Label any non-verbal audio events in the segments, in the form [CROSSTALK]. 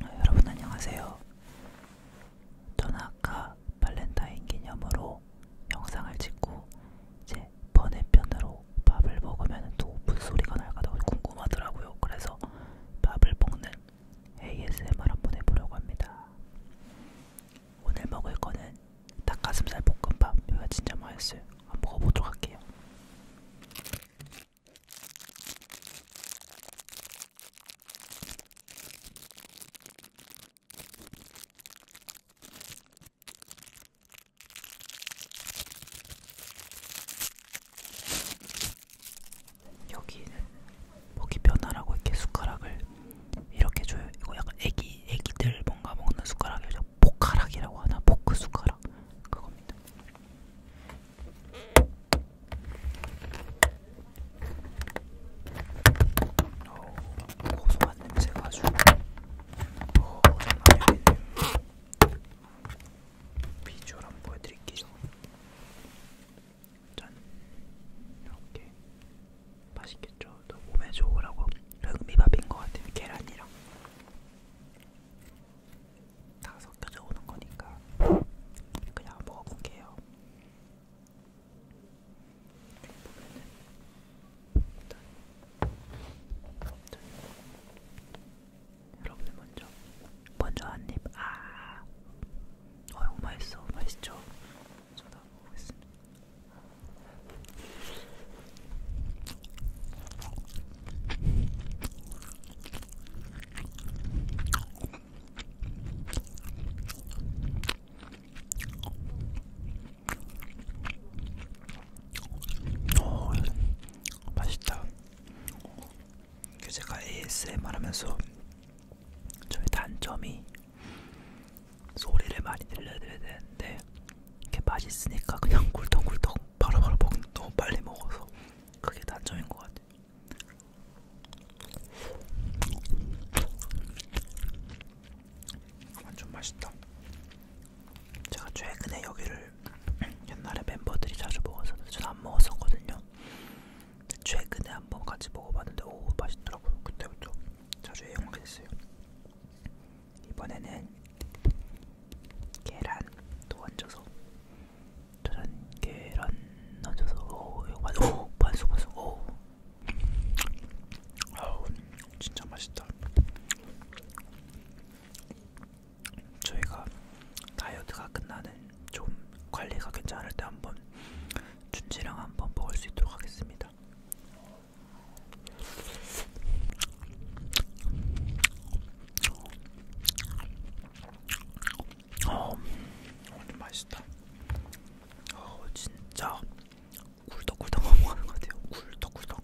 여러분 안녕하세요. 저는 아까 발렌타인 기념으로 영상을 찍고 이제 번외편으로 밥을 먹으면 또 무슨 소리가 날까 궁금하더라고요. 그래서 밥을 먹는 ASMR 한 번 해보려고 합니다. 오늘 먹을 거는 닭가슴살 볶음밥. 이거 진짜 맛있어요. 한번 먹어보도록 할게요. 여기는 목이 변화라고 이렇게 숟가락을 이렇게 줘요. 이거 약간 애기 애기들 뭔가 먹는 숟가락이죠. 포카락이라고 하나 포크 숟가락 그겁니다. 오, 고소한 냄새가 아주 어, 장난이 아니네요. 비주얼 한번 보여드릴게요. 짠! 이렇게 맛있겠죠? 또 몸에 좋으라고 흑미밥인 것 같아요. 계란이랑 다 섞여져 오는 거니까 그냥 먹어볼게요. 일단, 일단. 여러분들 먼저 먼저 한입 아 어휴 맛있어 맛있죠? 저도 한번 먹겠습니다 오, 어, 맛있다. 제가 ASMR 하면서 저의 단점이 소리를 많이 들려드려야 되는데 이게 맛있으니까 그냥 굴떡굴떡 바로바로 먹 너무 빨리 먹어서 그게 단점인 것 같아요. 완전 아, 맛있다. 제가 최근에 여기를 [CLEARS THROAT] 옛날에 멤버들이 자주 먹어서 저는 안 먹었었거든요. 최근에 한번 같이 먹어봤는데 오 맛있더라고요. 그때부터 자주 애용하게 됐어요. 이번에는 계란 또 얹어서 저는 계란 얹어서 오 이거 맛, 오 반숙 반숙 오 아우 진짜 맛있다 저희가 다이어트가 끝나는 좀 관리가 괜찮을 때 한번 준지랑 한번 먹을 수 있도록 하겠습니다. 있습니다. 어, 완전 맛있다. 어, 진짜 꿀떡꿀떡 먹는 것 같아요. 꿀떡꿀떡.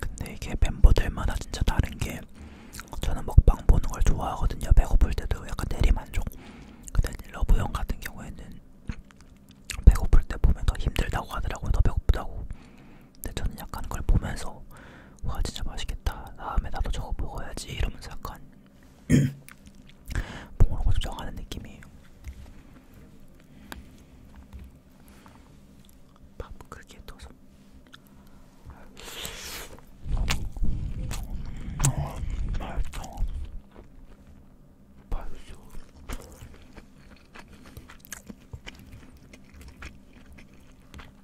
근데 이게 멤버들마다 진짜 다른 게 저는 먹방 보는 걸 좋아하거든요. 배고플 때도 약간 대리만족. 근데 러브형 같은 경우에는 배고플 때 보면 더 힘들다고 하더라고요. 더 배고프다고. 근데 저는 약간 그걸 보면서 와 진짜 맛있겠다. 다음에 나도 저거 먹어야지 이러면서 약간 보는 거좀 정하는 느낌이에요. 밥 그렇게 떠서. 어, 맛있다. 맛있어.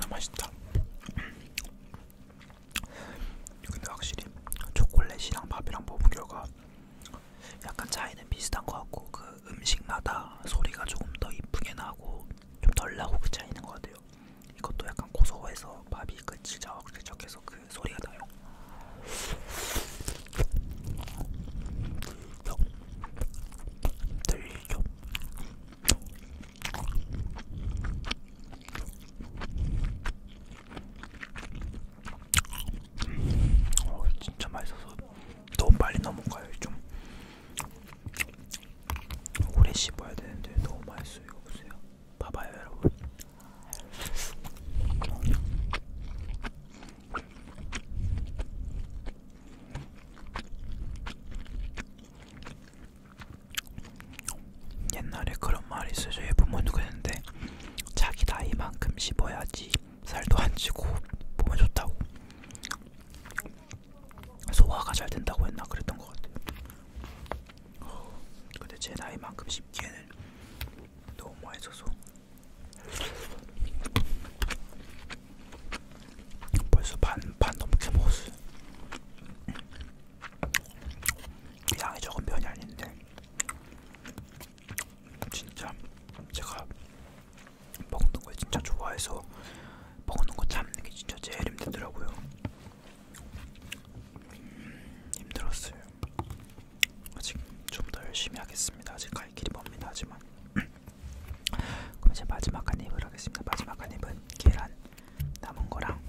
아, 맛있다. 근데 확실히 초콜릿이랑 밥이랑 먹은 결과 약간 차이는 비슷한 것 같고 그 음식마다 소리가 조금 더 이쁘게 나고 좀 덜 나고 그 차이는 것 같아요. 이것도 약간 고소해서 밥이 그 질적질적해서 그 소리가 나요. 들리죠? 어, 진짜 맛있어서 너무 빨리 넘어가요 좀 오래 씹어야 되는데 너무 맛있어요 보세요 봐봐요 여러분 옛날에 그런 말이 있어요. 저희 부모 누구였는데 자기 나이만큼 씹어야지 살도 안 찌고 몸에 좋다고 소화가 잘 된다고 했나 그랬던 것 같아요. 근데 제 나이만큼 씹기에는 너무 맛있어서 벌써 반, 반 넘게 먹었어요. 양이 적은 편이 아닌데 진짜 제가 먹는 걸 진짜 좋아해서 먹는 거 참는 게 진짜 제일 힘들더라고요. 힘들었어요. 아직 좀 더 열심히 하겠습니다. 아직 갈 길이 멉니다. 하지만 [CLEARS THROAT] 그럼 이제 마지막 한 입을 하겠습니다. 마지막 한 입은 계란 남은 거랑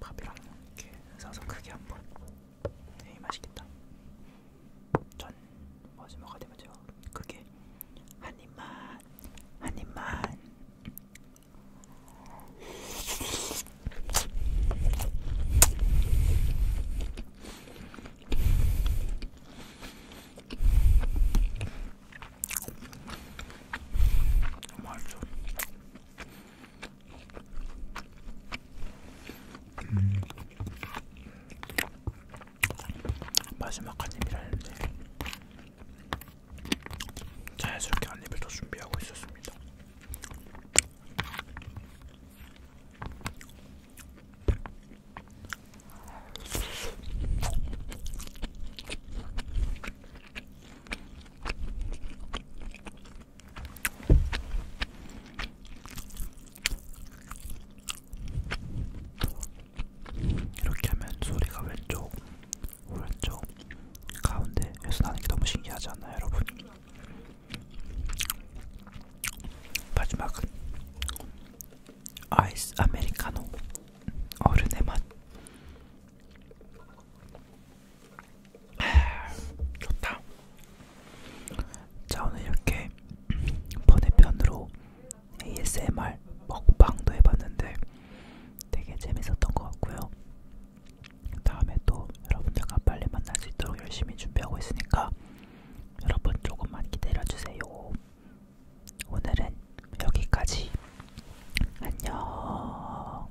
밥이랑 이렇게 싸서 크게 한번. 네, 맛있겠다. 전 마지막 한 입은 제가 크게 한 입만, 한 입만. 맛있어. 음. 마지막 한 입이라는데 자연스럽게 한 입을 더 준비하고 있었습니다. 이렇게 하면 소리가 왼쪽 오른쪽 그렇죠. 가운데에서 나는 게 너무 신기하지 않나요, 여러분? 마지막은 아이스 아메리카노 어른의 맛 좋다. 자 오늘 이렇게 [LAUGHS] 번외편으로 ASMR 먹방도 해봤는데 되게 재밌었던 것 같고요. 다음에 또 여러분들과 빨리 만날 수 있도록 열심히 준비하고 있으니까 여러분 조금만 기다려주세요. 오늘은 여기까지. 안녕.